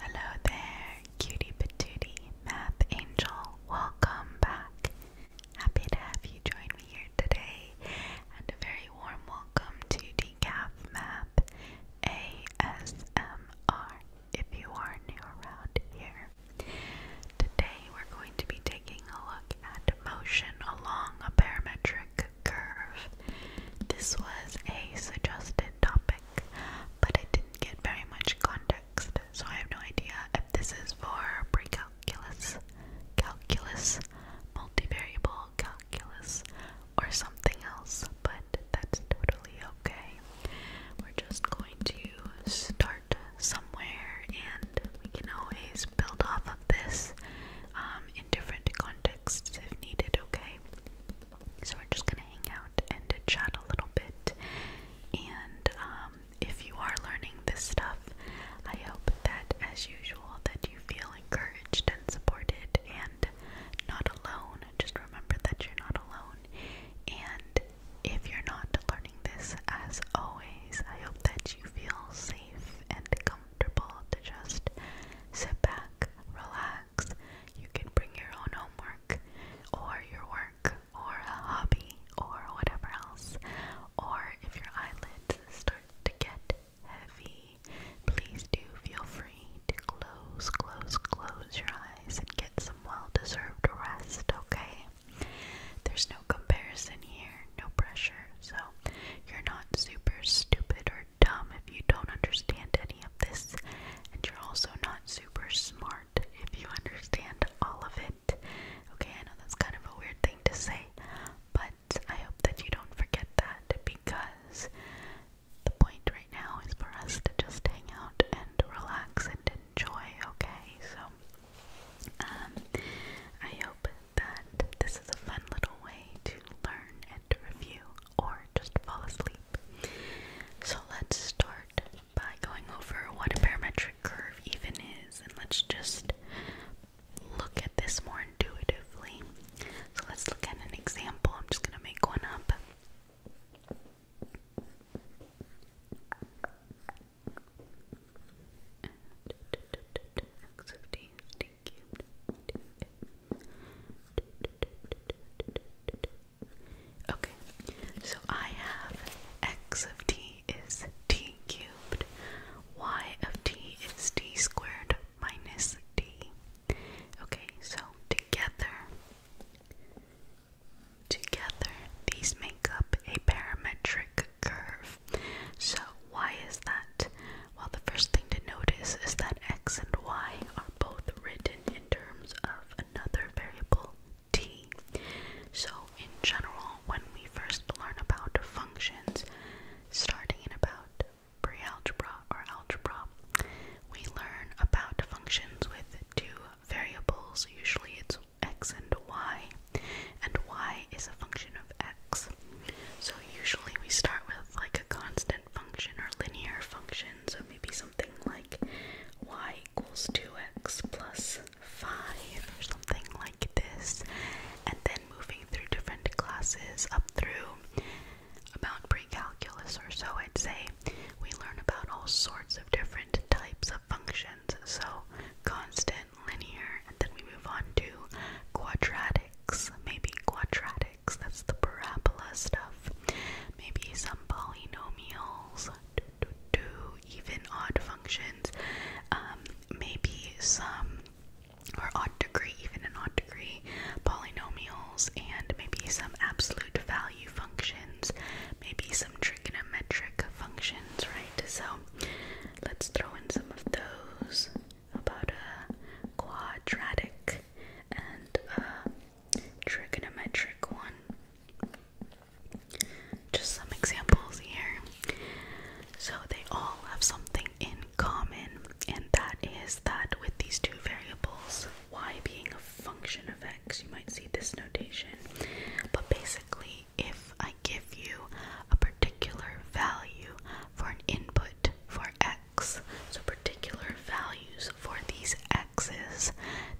Hello there, cutie patootie, math angel. Welcome back. Happy to have you join me here today, and a very warm welcome to Decaf Math ASMR if you are new around here. Today we're going to be taking a look at motion along a parametric curve. This was a suggested topic but I didn't get very much context, so I have no idea if this is for precalculus, calculus, multivariable calculus, or something else, but that's totally okay. We're just going to start somewhere and we can always build off of this um, in different contexts if needed, okay? So we're just gonna hang out and chat a little bit. And um, if you are learning this stuff, I hope that, as usual, that you feel encouraged and supported and not alone. Just remember that you're not alone. And if you're not learning this, as always, I hope that you feel safe and comfortable to just sit back, relax. You can bring your own homework, or your work, or a hobby, or whatever else. Or if your eyelids start to get heavy, please do feel free to close, close, close your eyes and get some well deserved rest, okay? There's no comparison here, no pressure, so you're not super stupid or you're dumb if you don't understand any of this, and you're also not super smart if you understand all of it. Okay, I know that's kind of a weird thing to say, but I hope that you don't forget that because the point right now is for us to just hang out and relax and enjoy, okay? So, um, I hope that this is a fun little way to learn and review or just fall asleep. So let's start by going over what a parametric curve even is, and let's just look at this more intuitively. So let's look at an example. I'm just going to make one up. Okay, so I have x of t is t cubed, y of t is t squared minus t. Okay, so together, together, these make up a parametric curve. So why is that? Well, the first thing to notice is that x and y are both written in terms of another variable t. So, in general, when we first learn about functions, starting in about pre algebra or algebra, we learn about functions with two variables. Usually it's x and y, and y is a function of x. So, usually we start with like a constant function or linear function, so maybe something like y equals 2x plus 5 or something like this, and then moving through different classes up through about pre-calculus or so, I'd say, we learn about all sorts of different types of functions, so constant, linear, and then we move on to quadratics, maybe quadratic that's the parabola stuff. Maybe some polynomials, do, even odd functions. Um, maybe some, or odd degree, even an odd degree, polynomials, and maybe some absolute value functions. Maybe some trigonometric functions, right? So let's throw in some of those. About a quadratic and trigonometric uh, one. Just some examples here. So they all have something in common, and that is that with these two variables, y being a function of x, you might see this notation. But basically, if I give you a particular value for an input for x so particular values for these x's,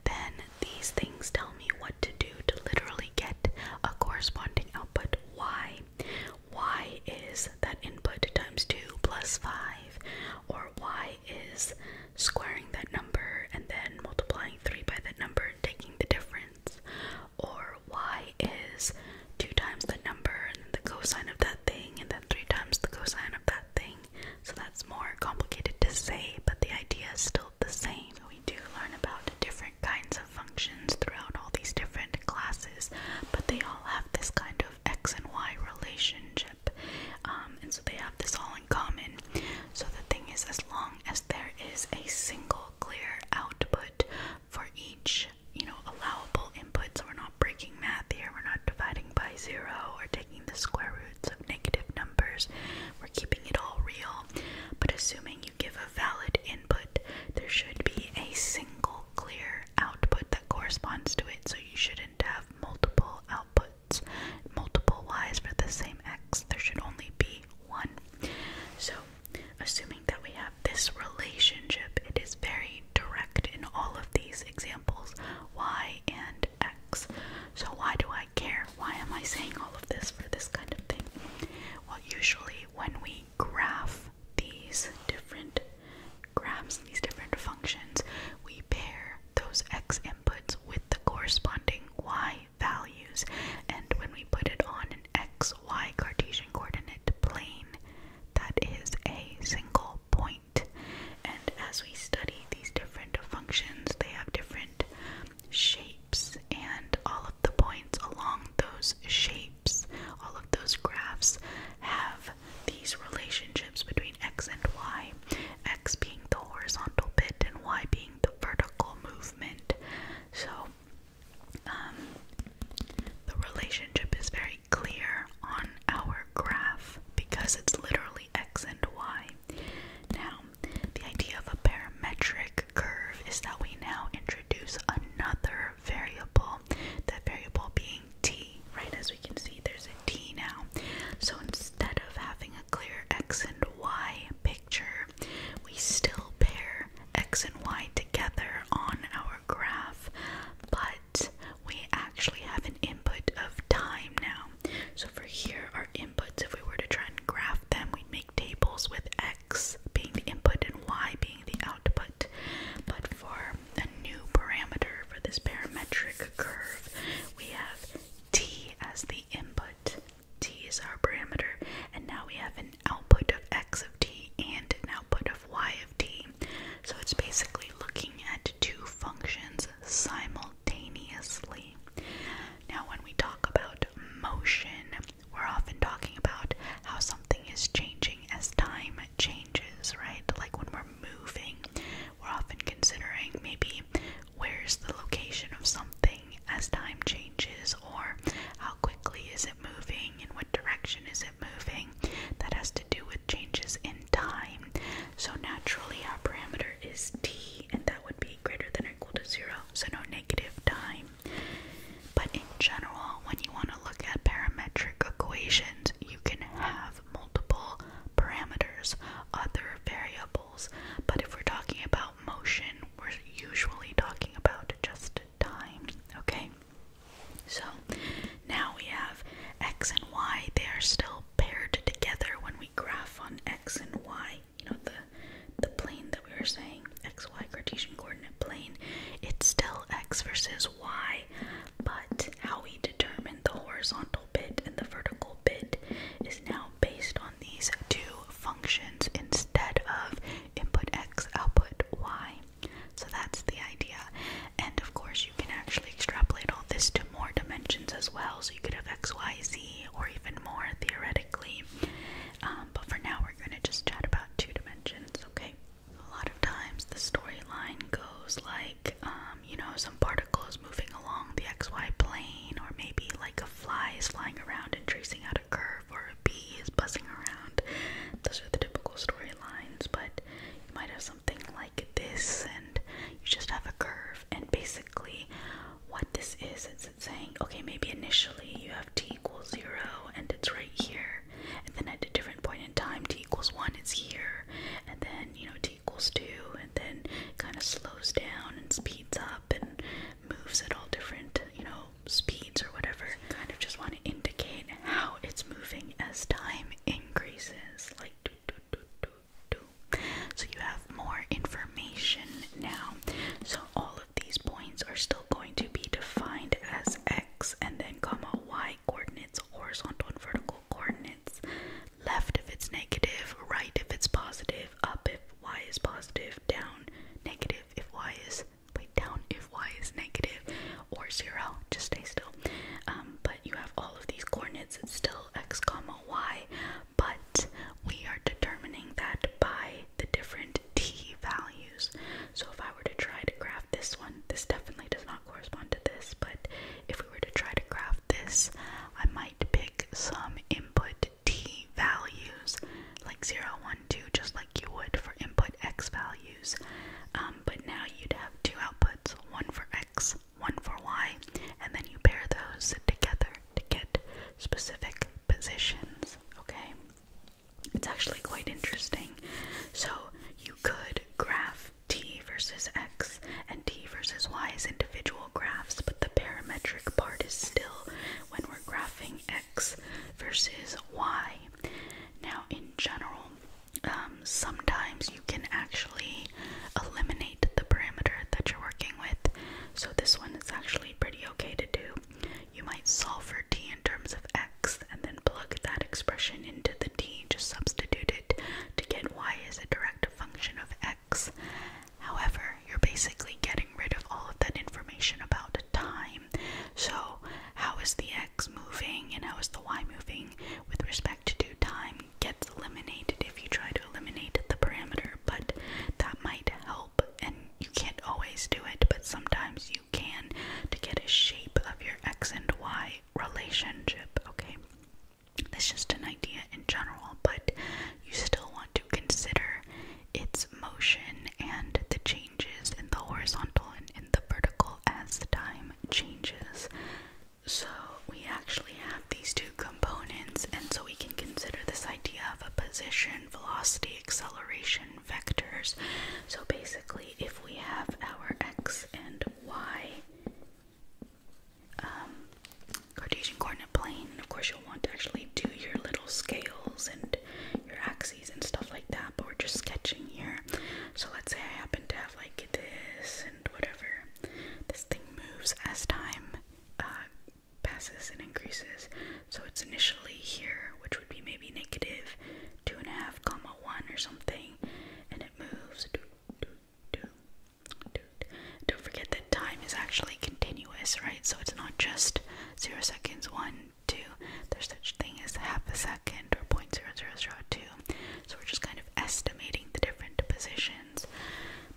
then these things tell me what to do to literally get a corresponding output y. y is that input times 2 plus 5, or y is squaring that number and then multiplying 3 by that number taking the difference, or y is 2 times the number and then the cosine of that thing and then three times the cosine of that thing. So that's more complicated to say, but the idea is still the same. We do learn about different kinds of functions throughout all these different classes, but they all have this kind of x and y relationship. Um, and so they have this all in common. So the thing is, as long as there is a single clear output for each you know, allowable input. we're not breaking math here. We're not dividing by zero we We're taking the square roots of negative numbers. We're keeping it all real. But assuming you give a valid input, there should be a single clear output that corresponds to it. So you shouldn't have multiple outputs, multiple y's for the same x. There should only be one. So assuming that we have this relationship. It is very direct in all of these examples y and x. So, why do I care? Why am I saying all of this for this kind of thing? Well, usually when we graph these different graphs, these different functions, we pair those x inputs with the corresponding y values. And when we put it on an xy Cartesian coordinate plane, that is a single and as we study these different functions, they have different shapes, and all of the points along those shapes, all of those graphs, have these relationships between x and y. X being the horizontal bit, and y being the vertical movement. So, um, the relationship is very clear on our graph because it's literally x and y. Now, the idea of a parametric curve is that we now introduce another variable, that variable being t, right? As we can see, there's a t now. So instead of having a clear x and y picture, we still pair x and y together on our graph, but we actually have an input of time now. So for here, our inputs, if we were to try and graph them, we'd make tables with x being the input and y being the output. But for a new parameter for this parametric curve, we have t as the input. t is our parameter, and now we have an output of x of t and an output of y of t. So it's basically looking at two functions simultaneously. Now, when we talk about motion, we're often talking about how something is changing as time changes, right? Like when we're moving, we're often considering maybe where's the location of something as time changes, or how quickly is it moving, in what direction is it moving that has to do with changes in time. So naturally our parameter is t and that would be greater than or equal to zero, so no negative time. But in general, when you want to look at parametric equations, you can have multiple parameters, other variables. But if we're talking about motion, we're usually talking about just time, okay? So now we have x and y. They are still paired together when we graph on x and y. You know the the plane that we were saying, x y Cartesian coordinate plane. It's still x versus y, but how we determine the horizontal bit and the vertical bit is now based on these two functions instead of input x, output y. So that's the idea. And of course, you can actually extrapolate all this to more dimensions as well. So you could have X, Y, Z, or even more theoretically. Um, but for now, we're going to just chat about two dimensions, okay? A lot of times, the storyline goes like, um, you know, some particles moving along the XY plane, or maybe like a fly is flying around and tracing out a curve, or a bee is buzzing around. Those are the typical storyline lines, but you might have something like this, and you just have a curve. And basically, what this is, it's, it's saying, okay, maybe initially you have t equals zero, and it's right here, and then at a different point in time, t equals one, it's here, and then you know t equals two, and then kind of slows down and speeds up and moves at all different, you know, speeds or whatever kind of just want to indicate how it's moving as time increases like do, do, do, do, do. so you have more information now so all of these points are still going to be defined as x and then comma y coordinates horizontal and vertical coordinates left if it's negative right if it's positive up if y is positive down negative if y is like down if y is negative or zero, just stay still. Um, but you have all of these coordinates, it's still x comma y, but we are determining that by the different t values. So if I were to try to graph this one, this definitely does not correspond to this, but if we were to try to graph this, I might pick some input t values like 0, 1, 2, just like you would for input x values, um, but now you'd have two outputs, one for x, one for y, and then you pair those together to get specific positions, okay? It's actually quite interesting. So you could graph t versus x and t versus y as individual graphs, but the parametric part is still when we're graphing x versus y. Now, in general, um, sometimes you can actually eliminate the parameter that you're working with. So, this one is actually pretty okay to do. You might solve for t in terms of x and then plug that expression into the t, just substitute it to get y as a direct function of x. However, you're basically getting rid of all of that information about time. So, how is the x moving and how is the y moving with respect to time gets eliminated if you try to eliminate the parameter, but that might help. And you can't always do it, but sometimes you can to get a shape of your x and y relationship, okay? That's just an idea in general, but you still want to consider its motion and the changes in the horizontal and in the vertical as the time changes. So we actually have these two components, and so we can consider this idea of a position, velocity, acceleration, vectors. So basically, if we have our x and y um, Cartesian coordinate plane, of course, you'll want to actually do your little scales and your axes and stuff like that, but we're just sketching here. So let's say I happen to have like this and whatever. This thing moves as time uh, passes and increases. So it's initially here, which would be maybe negative two and a half comma one or something, and it moves. Don't forget that time is actually continuous, right? So it's not just zero seconds, one, 2. There's such thing as half a second or 0.0002. So we're just kind of estimating the different positions.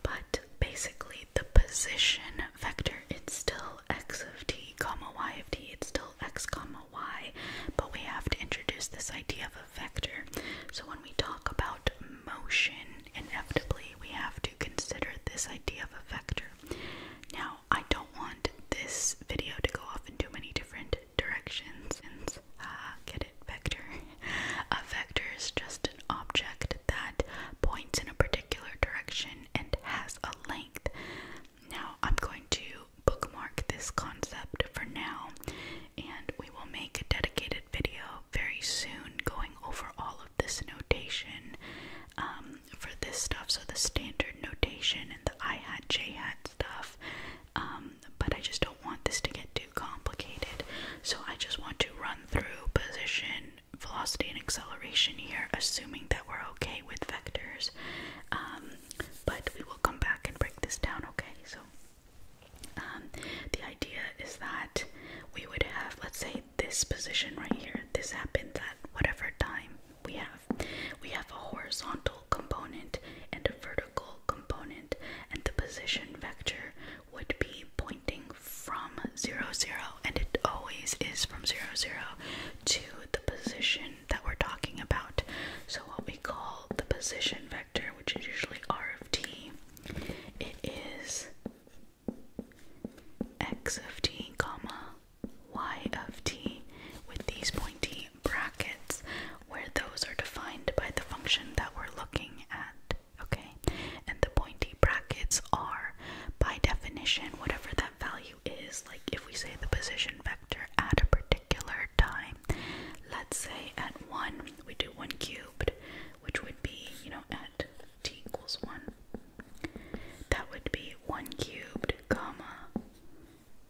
But basically the position vector, it's still x of t comma y of t. It's still x comma y. But we have to introduce this idea of a vector. So when we talk about motion, inevitably we have to consider this idea of a vector. Now I don't want this video to go off in too many different directions since, uh, get it, vector. A vector is just an object that points in a particular direction and has a length. Now, I'm going to bookmark this concept for now and we will make a dedicated video very soon going over all of this notation um, for this stuff. So the standard notation and the I hat, J hat stuff. Um, but I just don't want this to get too complicated. So I just want to run through position, velocity, and acceleration here, assuming that we're okay with vectors. Um, but we will come back and break this down, okay? So um, the idea is that we would have, let's say, this position right here. This happens at whatever time we have. We have a horizontal component and a vertical component, and the position vector would be pointing from 0, 0, and it always is from 0, 0 to the position that we're talking about. So, what we call the position vector, which is usually r of t, it is x of t, comma y of t with these pointy brackets where those are defined by the function that we're looking at. Okay? And the pointy brackets are, by definition, whatever that value is. Like if we say the position vector at a particular time, let's say at 1, we do 1 cubed, which would be, you know, at t equals 1. That would be 1 cubed, comma,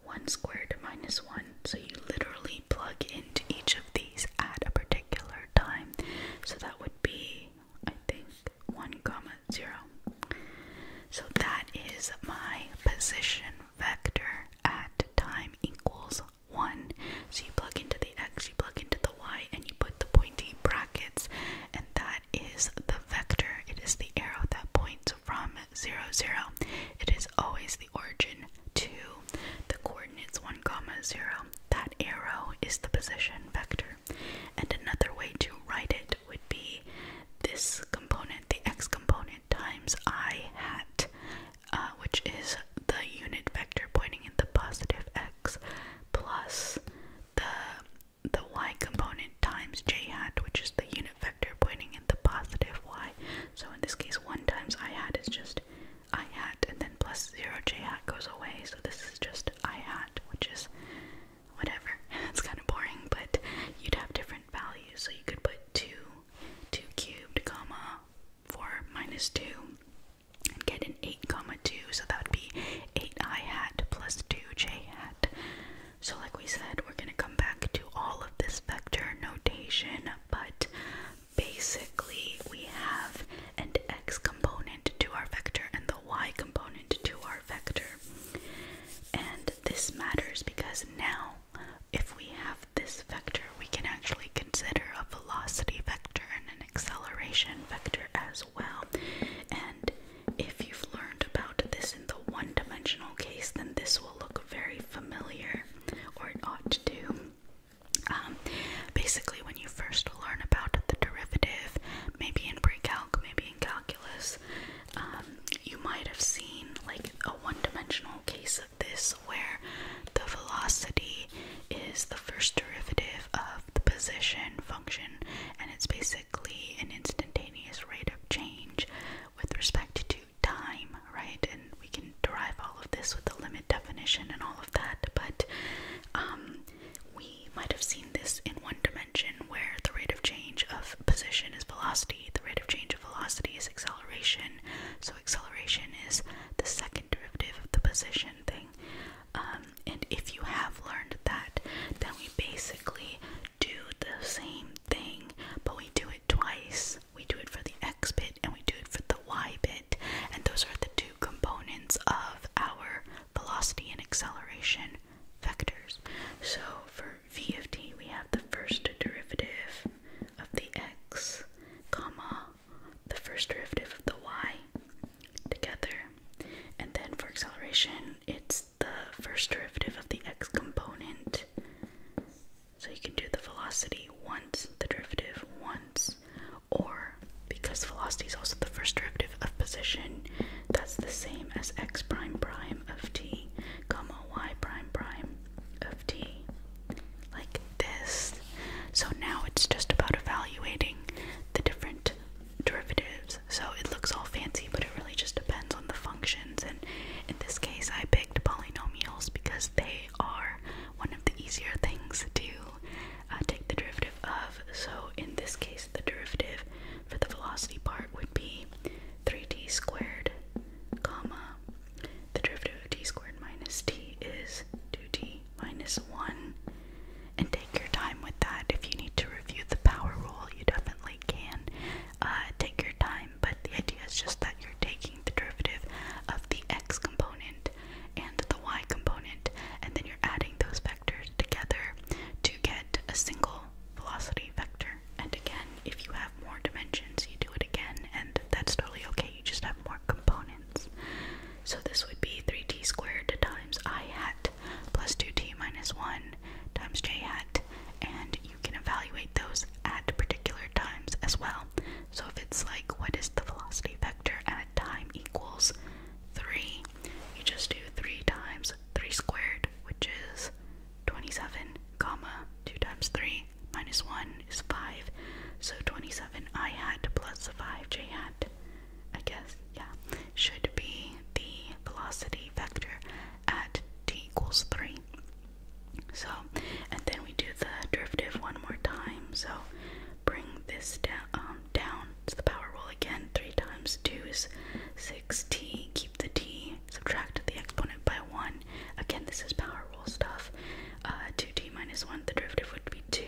1 squared minus 1. So you literally plug into each of these at a particular time. So that would be, I think, 1 comma 0. So that is my position vector at time equals 1. So you plug into the x, you plug into the y, and you put the pointy brackets, and that is the vector. It is the arrow that points from 0, 0. It is always the origin to the coordinates 1, comma 0. That arrow is the position vector. And another way to write it would be this component, the x component, times i hat, uh, which is the unit vector pointing in the positive x plus the the y component times j hat, which is the unit vector pointing in the positive y. So in this case, 1 times i hat is just i hat, and then plus 0 j hat goes away, so this is just i hat, which is whatever. It's kind of boring, but you'd have different values. So you could put 2, 2 cubed, comma, 4 minus 2, and get an 8, comma 2, so that would be 8 i hat plus 2j hat. So like we said, we're going to come back to all of this vector notation, but basically we have an x component to our vector and the y component to our vector. And this matters because now if we have this vector, we can actually consider a velocity vector and an acceleration vector as well. And if you've learned about this in the one dimensional case, then this will look very familiar, or it ought to do. Um, basically, when you first learn about the derivative, maybe in precalc, maybe in calculus, um, you might have seen like a one dimensional case of this where the velocity is the first derivative of the position function, and it's basically an instantaneous rate of change with respect to time, right? And we can derive all of this with the limit definition and all of that, but um, we might have seen this in one dimension where the rate of change of position is velocity, the rate of change of velocity is acceleration, so acceleration is the second derivative of the position thing. Um, and if you have learned that, then we basically do the same thing, but we do it twice. We do it for the x bit and we do it for the y bit, and those are the two components of our velocity and acceleration vectors. So for v of t, we have the first derivative of the x, comma, the first derivative of the y, together. And then for acceleration, it's the first derivative of the x component. So you can do the velocity once, the derivative once, or because velocity is also the first derivative of position, that's the same as x prime prime of t, comma y prime prime of t. Like this. So now it's just about evaluating the different derivatives. So it looks all fancy, but it really just depends on the functions. And in this case, I picked polynomials because they are one of the easier things to uh, take the derivative of. So in this case, the derivative for the velocity part would be 3t squared, comma, the derivative of t squared minus t is 2t minus 1. And take your time with that. If you need to review the power rule, you definitely can uh, take your time. But the idea is just that you're taking the derivative of the x component and the y component, and then you're adding those vectors together to get a single velocity vector. And again, if you have more dimensions, you do it again, and that's totally okay. You just have more components. So this would be 3t squared times i hat plus 2t minus 1 times j hat. And you can evaluate those at particular times as well. So if it's like, what is the velocity vector at time equals 3, you just do 3 times 3 squared, which is 27, comma, 2 times 3 minus 1 is 5. So 27 i hat plus 5 j hat I guess, yeah, should be the velocity vector at t equals 3. So, and then we do the derivative one more time. So, bring this down, um, down to the power rule again. 3 times 2 is 6t. Keep the t, subtract the exponent by 1. Again, this is power rule stuff. 2t uh, minus 1, the derivative would be 2.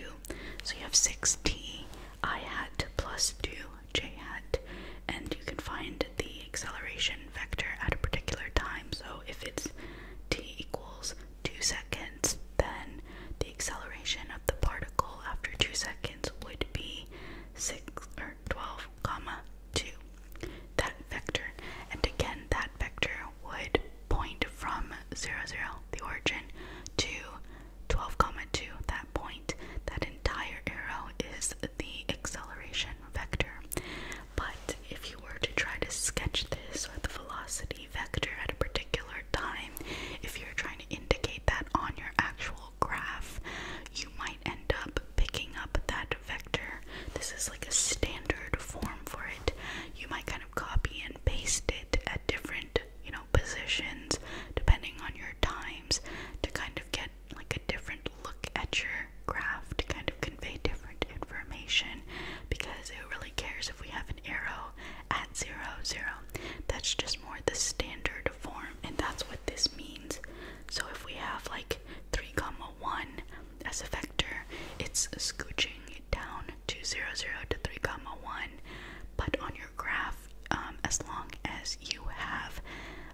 So you have 6t i hat plus 2 j hat, and you can find the acceleration vector at a particular time. So if it's t equals 2 seconds, then the acceleration of the particle after 2 seconds would be 6 or 12 comma 2 that vector and again that vector would point from zero zero, the origin, to twelve, comma two. that point. That entire arrow is the acceleration vector. But if you were to try to sketch this or the velocity vector at a particular time, if you're trying to indicate that on your actual graph, you might end up picking up that vector. This is like a standard form for it. You might kind of copy and paste it at different you know, positions depending on your times to kind of get like a different look at your graph to kind of convey different information because who really cares if we have an arrow at zero zero? That's just more the standard form and that's what this means. So if we have like three comma one as a vector, it's scooching down to zero zero to three comma one. But on your graph um, as long as you have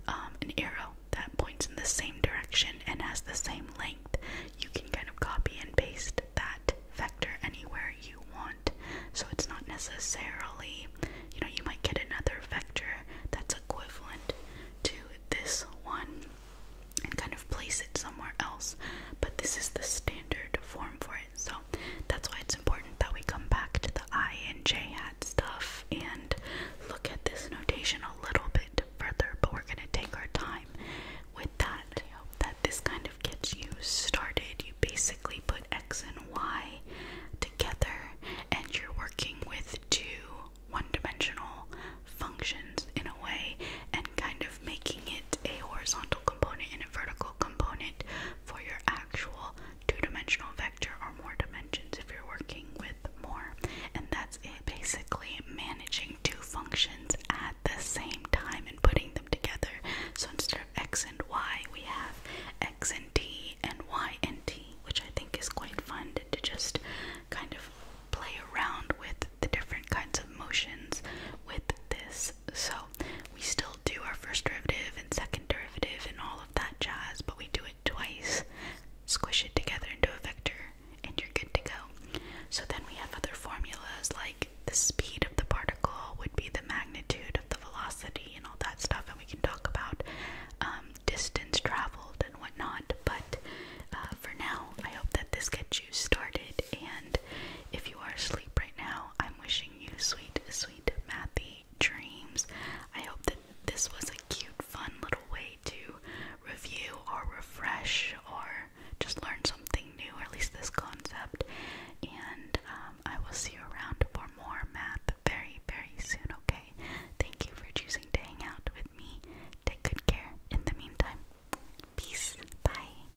um, an arrow that points in the same direction and has the same length. You can kind of copy and paste that vector anywhere you want. So it's not necessarily, you know, you might get another vector that's equivalent to this one and kind of place it somewhere else, but this is the standard form for it. So that's why it's important that we come back to the I and J hat stuff and look at this notation a little bit further, but we're gonna take our time with that. hope that this kind of gets you started. You basically put X and Y together and you're working with two one-dimensional functions in a way and kind of making it a horizontal component and a vertical component for your actual two-dimensional vector or more dimensions if you're working with more. And that's it, basically managing two functions at the same time and putting them together. So instead of x and y, we have x and t and y and t, which I think is quite fun to just kind of play around with the different kinds of motions with this so we still do our first derivative and second derivative and all of that jazz, but we do it twice, squish it together into a vector, and you're good to go. So then we have other formulas like the speed of the particle would be the magnitude of the velocity and all that stuff, and we can talk about um, distance traveled and whatnot. But uh, for now, I hope that this gets you you started. And if you are asleep right now, I'm wishing you sweet, sweet, mathy dreams. I hope that this was a cute, fun little way to review or refresh or just learn something new, or at least this concept. And um, I will see you around for more math very, very soon, okay? Thank you for choosing to hang out with me. Take good care in the meantime. Peace. Bye.